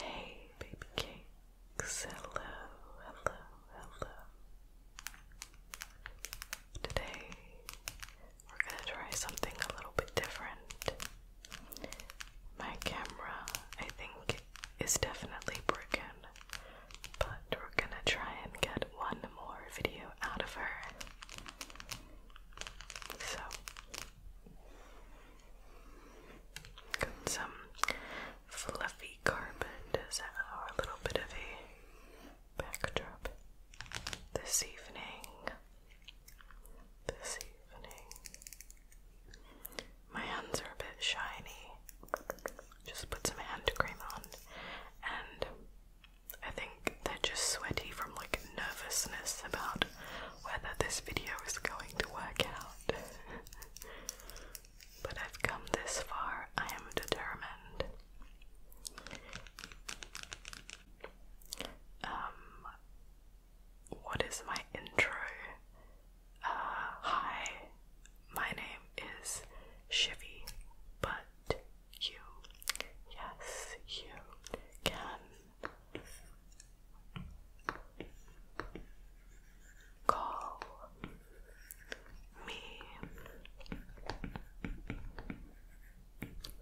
Hey, baby cakes. Hello, hello, hello. Today we're going to try something a little bit different. My camera, I think, is definitely broken, but we're going to try and get one more video out of her. So, some fluffy carpet as our little bit of a backdrop this evening. This evening. My hands are a bit shiny. Just put some hand cream on and I think they're just sweaty from like nervousness about whether this video is going to work out. but I've come this far, I am determined. Um, what is my intro? Uh, hi, my name is Shivy, but you, yes, you can Call me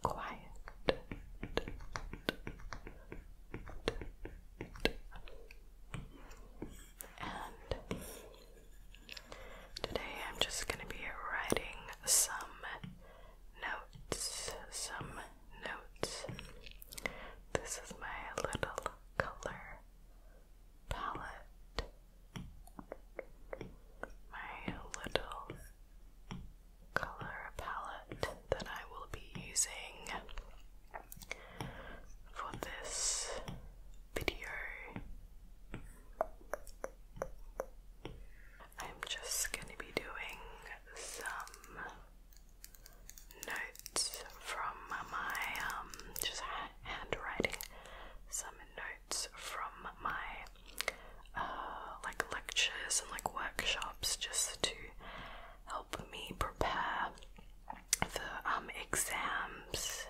quiet. And today I'm just going to be writing some notes, some notes. This is my little color palette. My little color palette that I will be using for this video. I'm just going to be doing some notes from my um, just handwriting some notes from my uh, like lectures and like workshops just to help me prepare for um exams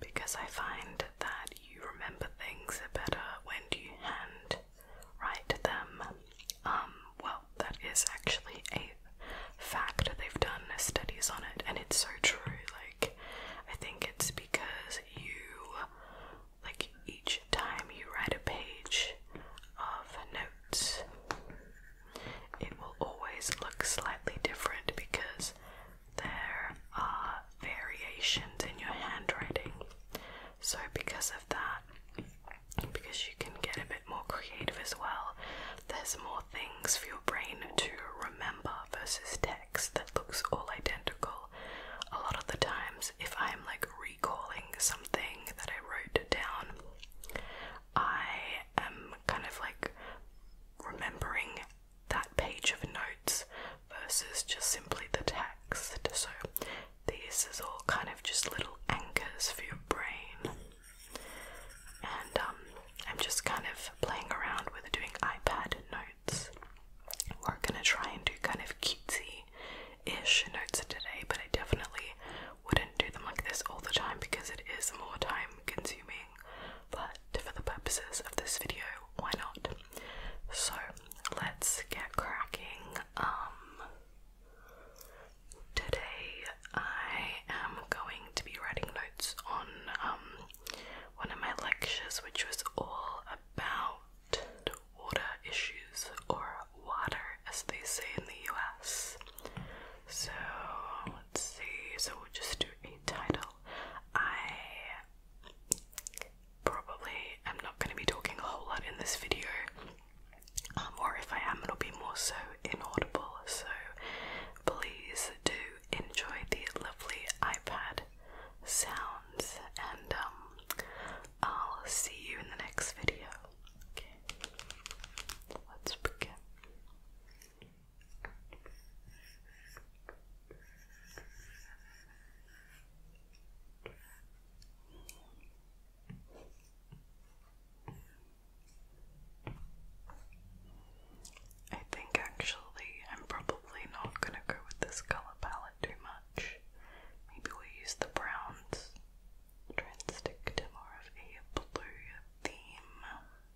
because I find that you remember things better when you hand write them. Um, well, that is actually a fact. They've done studies on it, and it's so true. Like, I think it's because you, like, each time you write a page of notes, it will always look slightly different because there are variations in your handwriting. So, because of that, because you can get a bit more creative as well, there's more things for your brain to remember versus text that looks all identical. A lot of the times, if I'm like recalling something that I wrote down, I am kind of like remembering that page of notes versus just simply the text. So these is all kind of just little anchors for your brain. And um, I'm just kind of playing around with doing iPad notes. We're gonna try and do kind of cutesy ish notes today, but I definitely would do them like this all the time because it is more time consuming, but for the purposes of this video, why not? So let's get cracking. Um, today I am going to be writing notes on um, one of my lectures, which was all about water issues or water as they say in the US. So let's see. So we'll just do a title. I probably am not going to be talking a whole lot in this video, um, or if I am, it'll be more so inaudible. So please do enjoy the lovely iPad sounds, and um, I'll see you in the next video. Okay, let's begin. I think actually I'm probably not going to go with this color palette too much. Maybe we'll use the browns. Try and stick to more of a blue theme.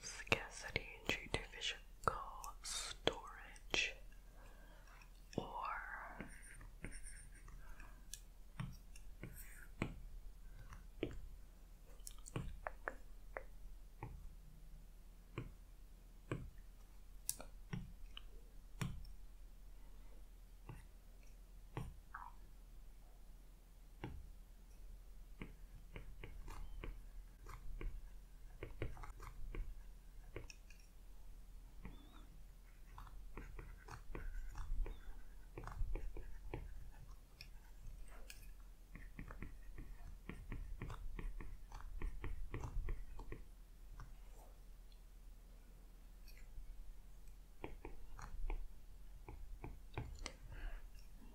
Scarcity and physical storage or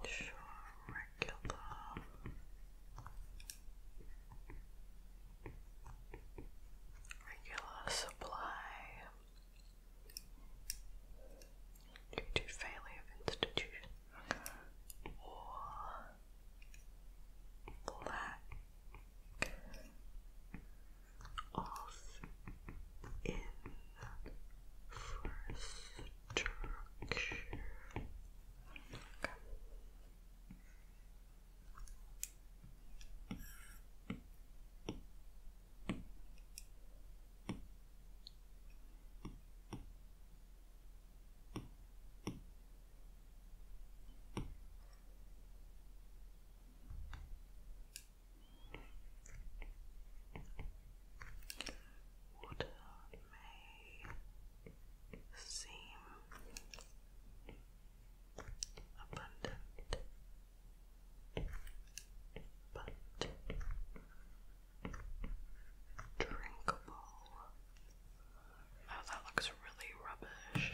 Sure, regular. Regular supply due to failure of institution or lack of infrastructure. Water may seem abundant, but drinkable. Oh, that looks really rubbish.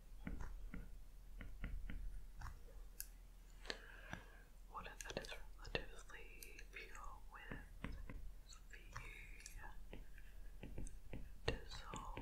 Water that is relatively pure with the dissolved.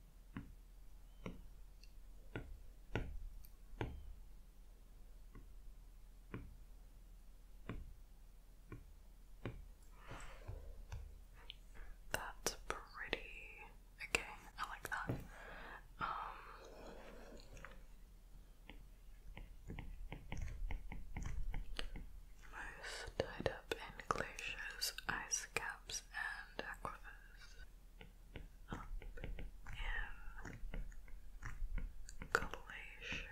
That's pretty. Okay, I like that. Um, tied up in glaciers, ice caps and aquifers in um, glaciers,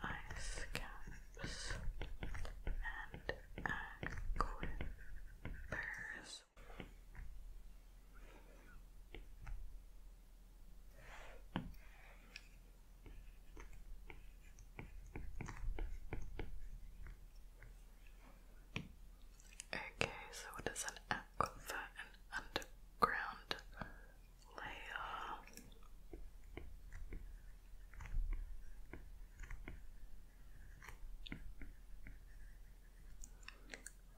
ice caps, and aquifers. Okay, so what is an aquifer? An underground layer.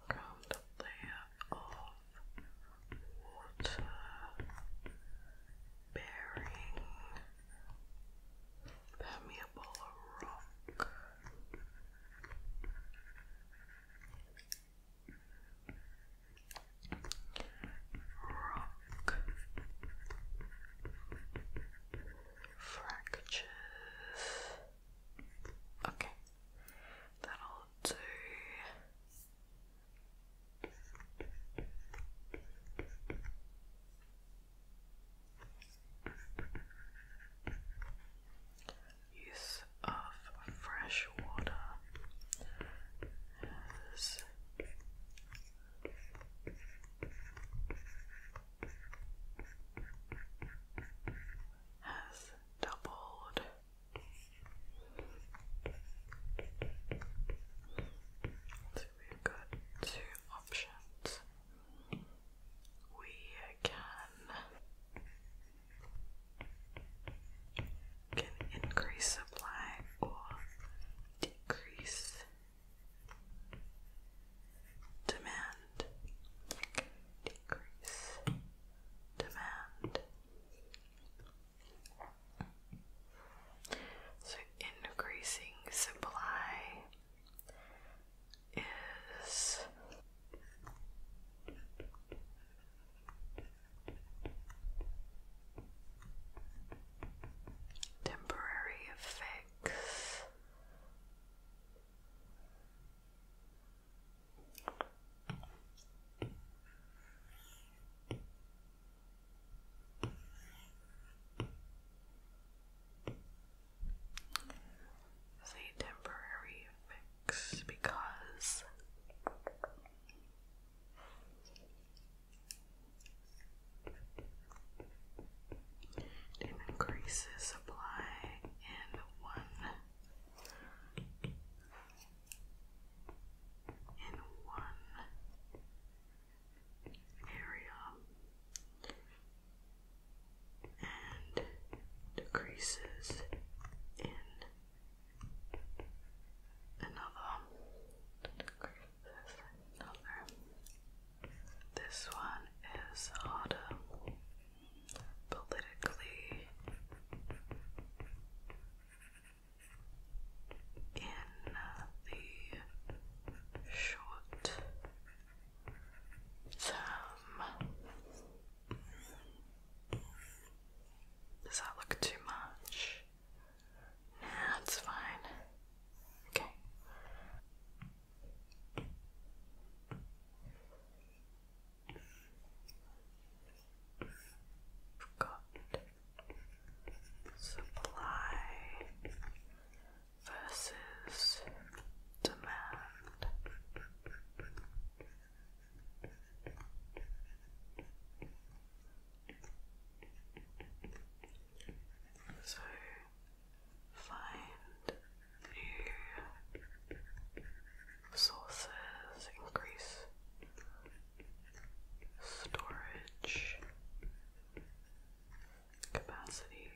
Ground layer of water bearing Pat me a ball of rock. Rock fractures. Okay, that'll do. Use of fresh has doubled we've got two options. We can increase supply or decrease demand. Decrease demand. So, increasing supply is temporary effects. It's a temporary fix because it increases supply in one in one area and decreases in another This one is harder politically in uh, the short term. Does that look too much? Nah, it's fine. Okay. Forgot supply versus demand. So find new sources, increase storage capacity.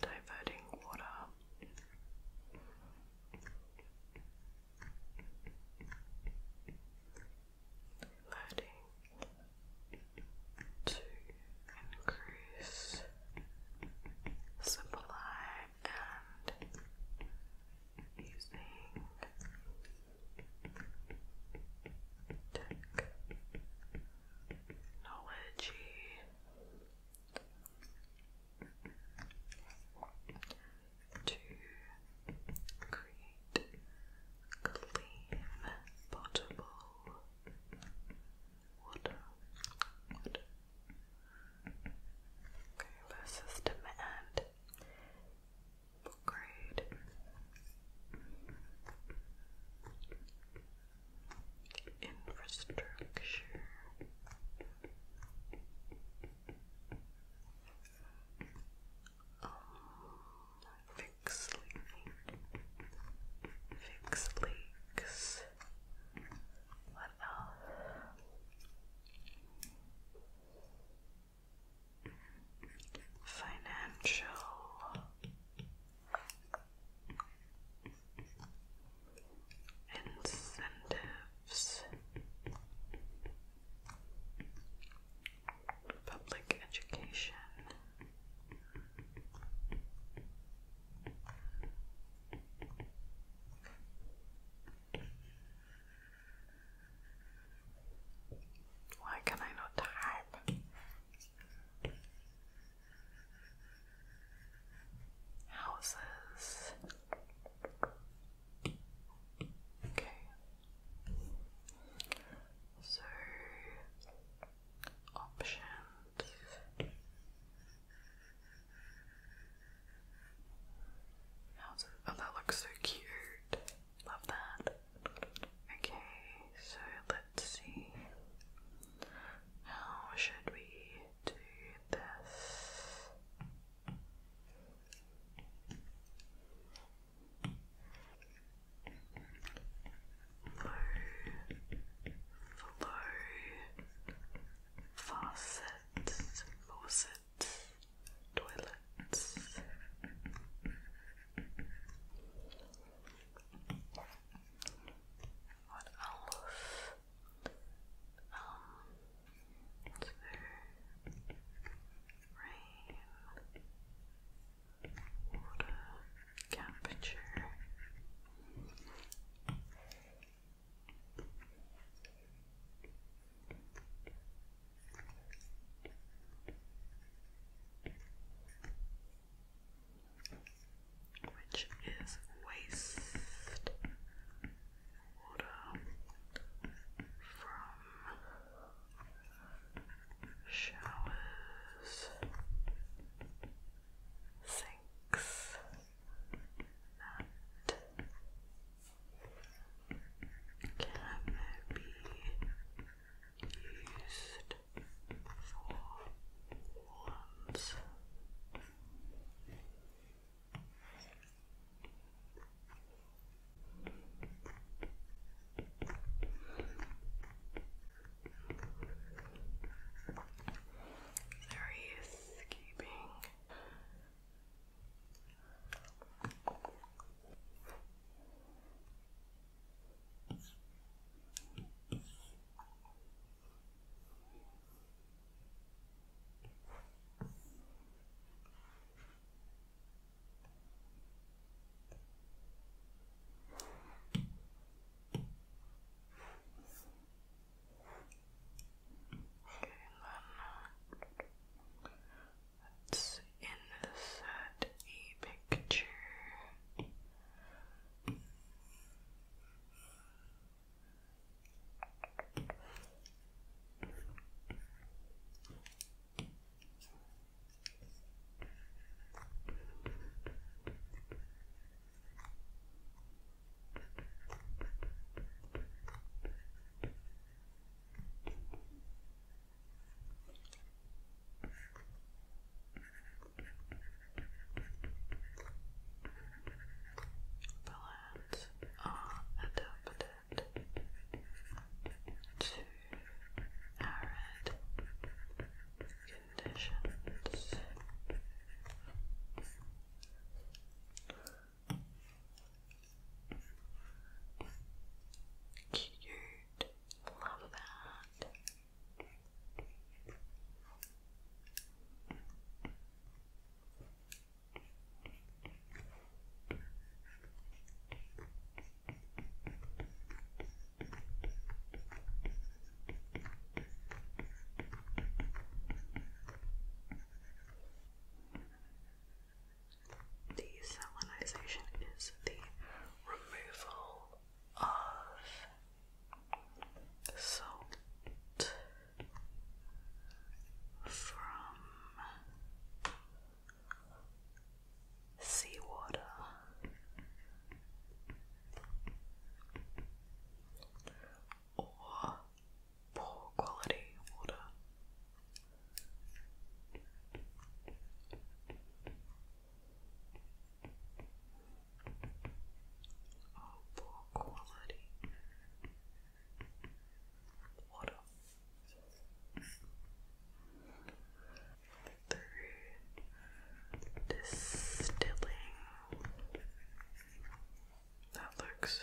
Diverting water adding to increase sublime and using technology to create clean, potable water, water. Okay, Infrastructure um, fix fix leaks. Financial. Incentives public education. Why can I not type? Houses. Okay. So options. Oh, that looks so cute. Love that. Okay, so let's see. How should we do this? Flow, flow, faucets, faucets, toilets. What else? Um, Rain, which is waste water from showers, sinks, and can be used for wands. There he is escaping. Okay, then let's insert a picture. Balance are adapted to arid conditions. Cute, love that. Desalinization is the removal of salt from seawater. Or poor quality water. Oh, poor quality water through distilling. That looks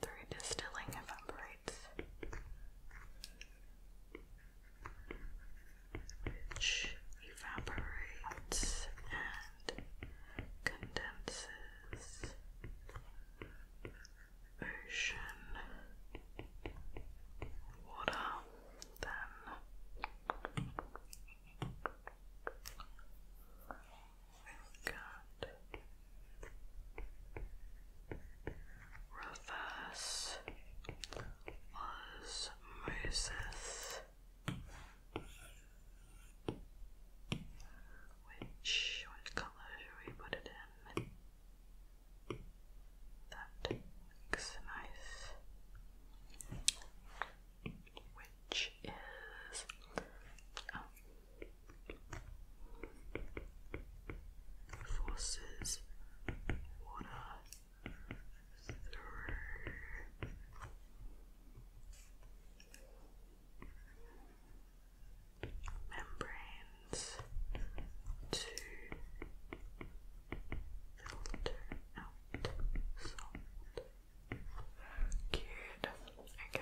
through distilling evaporates, evaporates and condenses ocean water, then we've got reverse osmosis. Which, which colour should we put it in? That looks nice. Which is um, forces water through membranes to filter out salt. Good. Okay.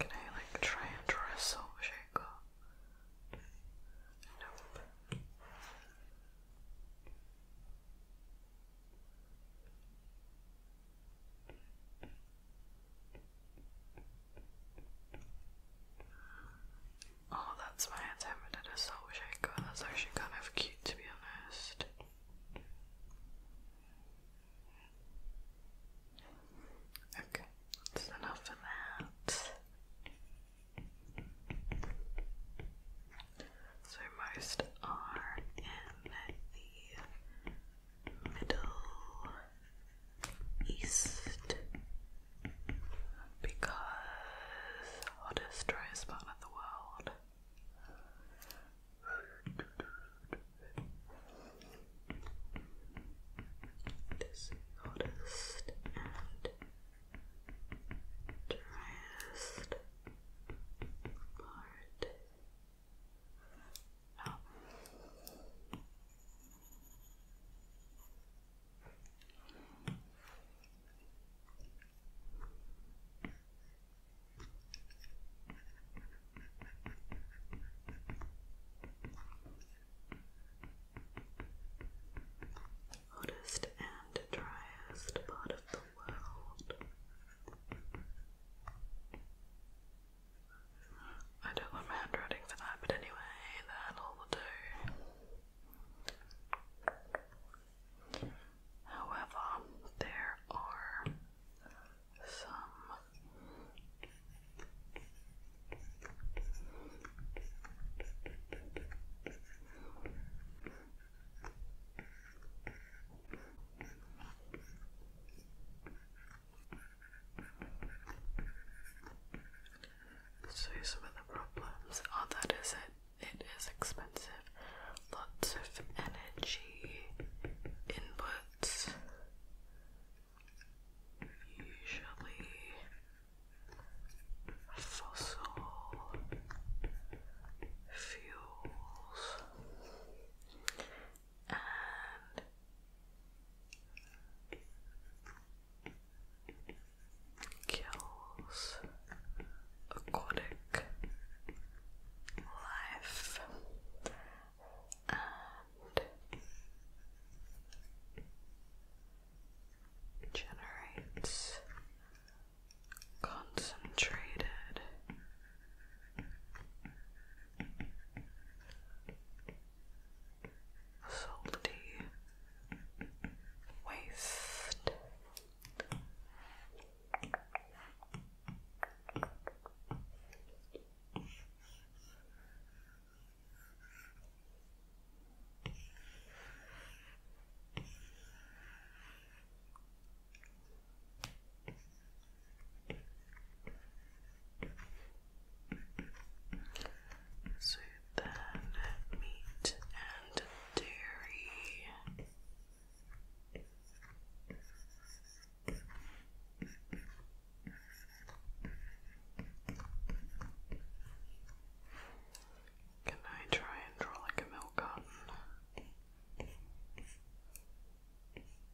Can I like try and draw a salt shaker? Nope. Oh, that's why I attempted a soul shaker. That's actually kind of cute to be honest. Okay, that's enough of that. So most are in the Middle East because hottest, driest part of the world. This hottest and driest part Oh. Hottest and driest part of the world. I don't want my handwriting for that, but anyway, that'll do. However, there are some so some of the problems are that is it it is expensive. Lots of energy inputs usually fossil fuels and kills aquatic life and generates concentrated salty waste. So then, meat and dairy. Can I try and draw like a milk carton?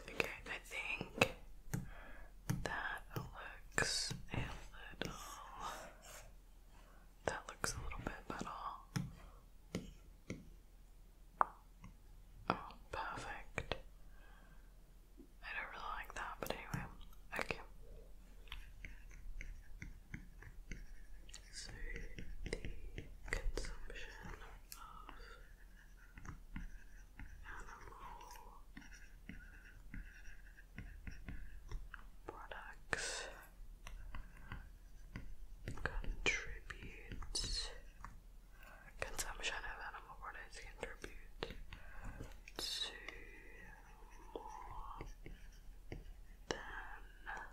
Okay, I think that looks a little that looks a little bit better. Oh, perfect. I don't really like that, but anyway. Okay. So, the consumption of products contributes consumption of animal products contribute to more than of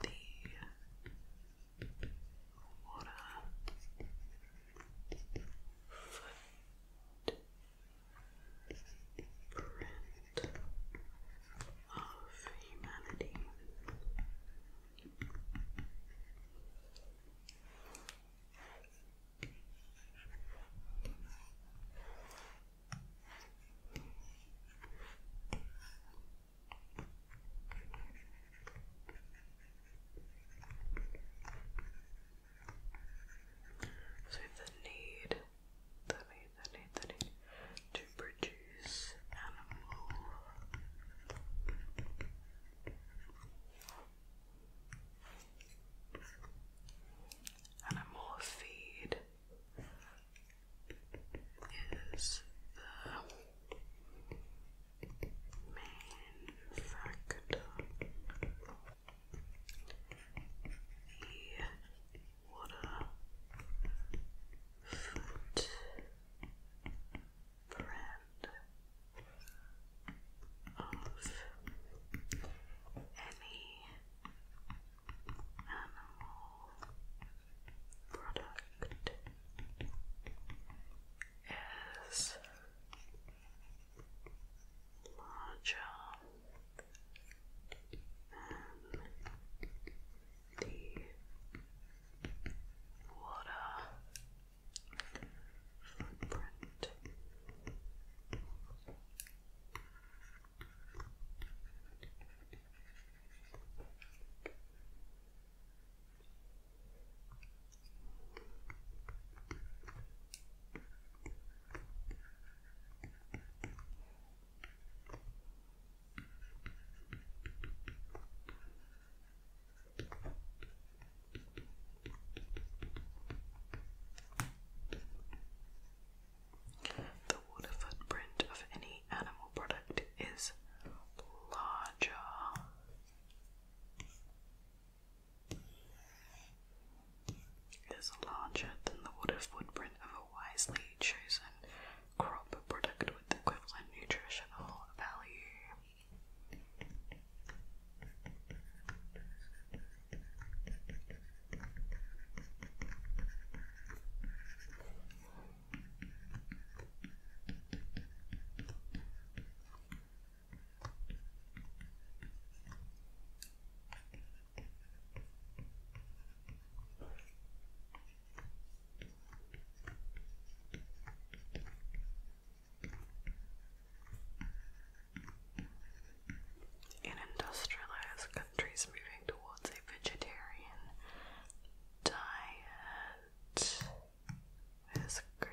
the what a footprint of humanity. So the need, the need, the need, the need to produce animal animal feed is the main factor. The water of any animal product is larger than the water footprint. Now the water footprint of any animal product is larger it is larger than the water footprint of a wisely chosen crop product with equivalent nutritional value. In industrialized countries moving towards a vegetarian diet, Where's green?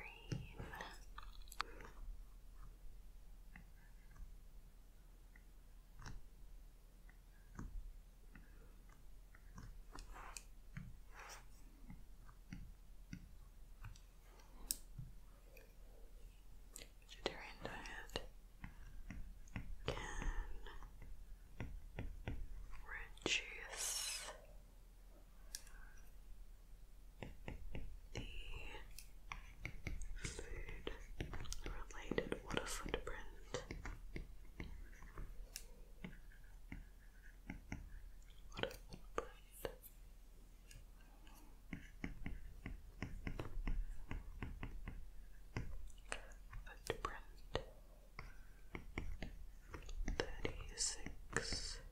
diet can reduce the food related water footprint. Footprint. Footprint. 36 percent.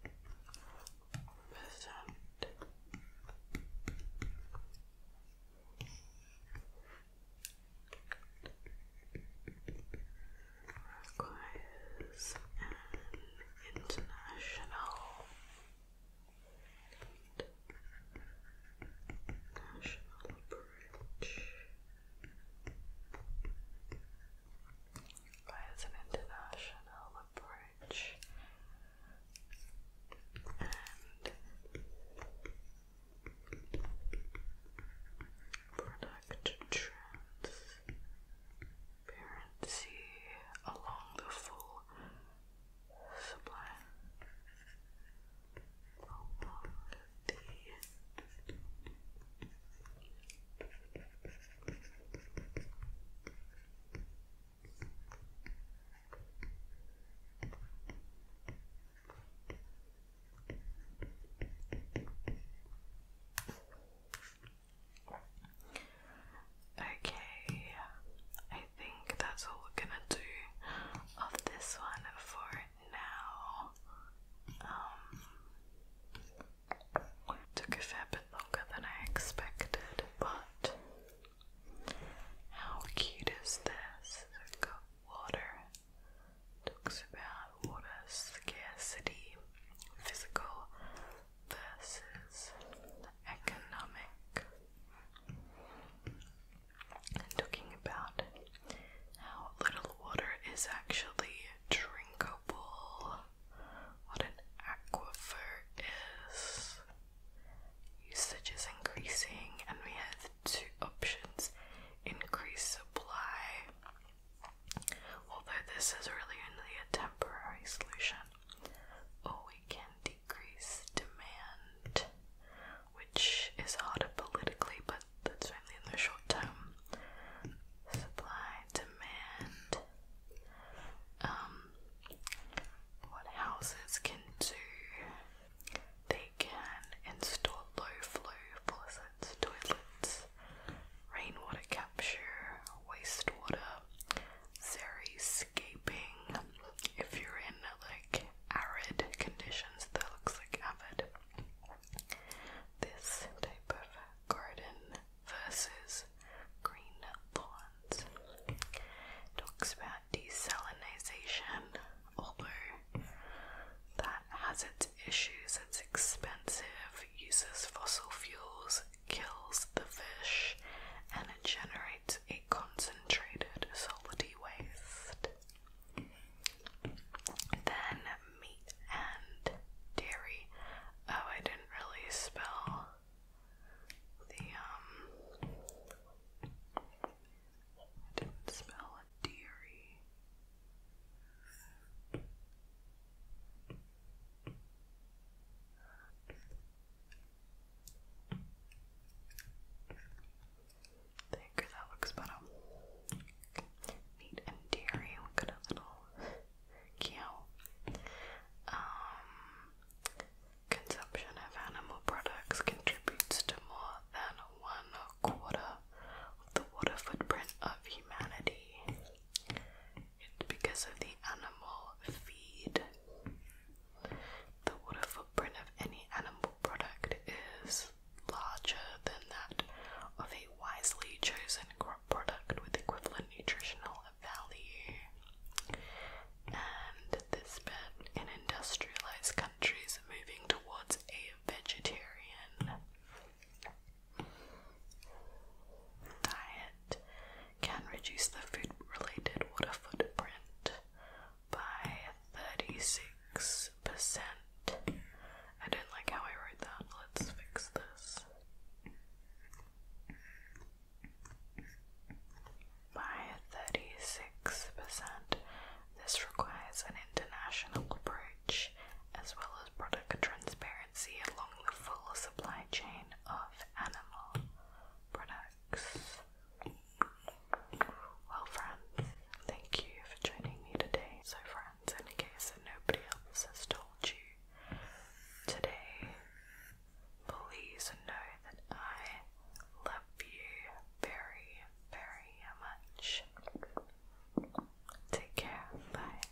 Requires an international national bridge as an international approach and product transparency along the full supply along the Okay, I think that's all we're gonna do of this one for now. Um, Took a fair bit longer than I expected, but how cute is this? water. Talks about water scarcity, physical versus economic. And talking about how little water is actually drinkable what an aquifer is. Usage is increasing, and we have two options increase supply. Although this is really only a temporary solution, or we can decrease demand, which is harder politically, but that's only in the short term. Supply, demand, um, what houses can do. They can install low flow faucets, toilets, rainwater capture, wastewater, xeriscaping. If you're in like arid conditions, that looks like avid. This type of garden versus green thorns. Talks about desalination, although that has its issues, it's expensive, uses fossil fuels, kills the fish, and it generates a concentrated solid waste. Then meat and dairy. Oh, I didn't really spell the um I didn't spell dairy. think that looks better. Meat and dairy. we got a little um, consumption of animal products contributes to more than one quarter of the water footprint of humanity. It's because of the animal feed. The water footprint of any animal product is larger than that of a wisely chosen product with equivalent nutritional value. And this bit in industrialized countries moving towards a vegetarian diet can reduce the food related water footprint by 36% I don't like how I wrote that. Let's fix this. By 36%. This requires an international approach as well as product transparency along the full supply chain of animal products. Well, friends, thank you for joining me today. So, friends, in case that nobody else has told you, Today, please know that I love you very, very much. Take care. Bye.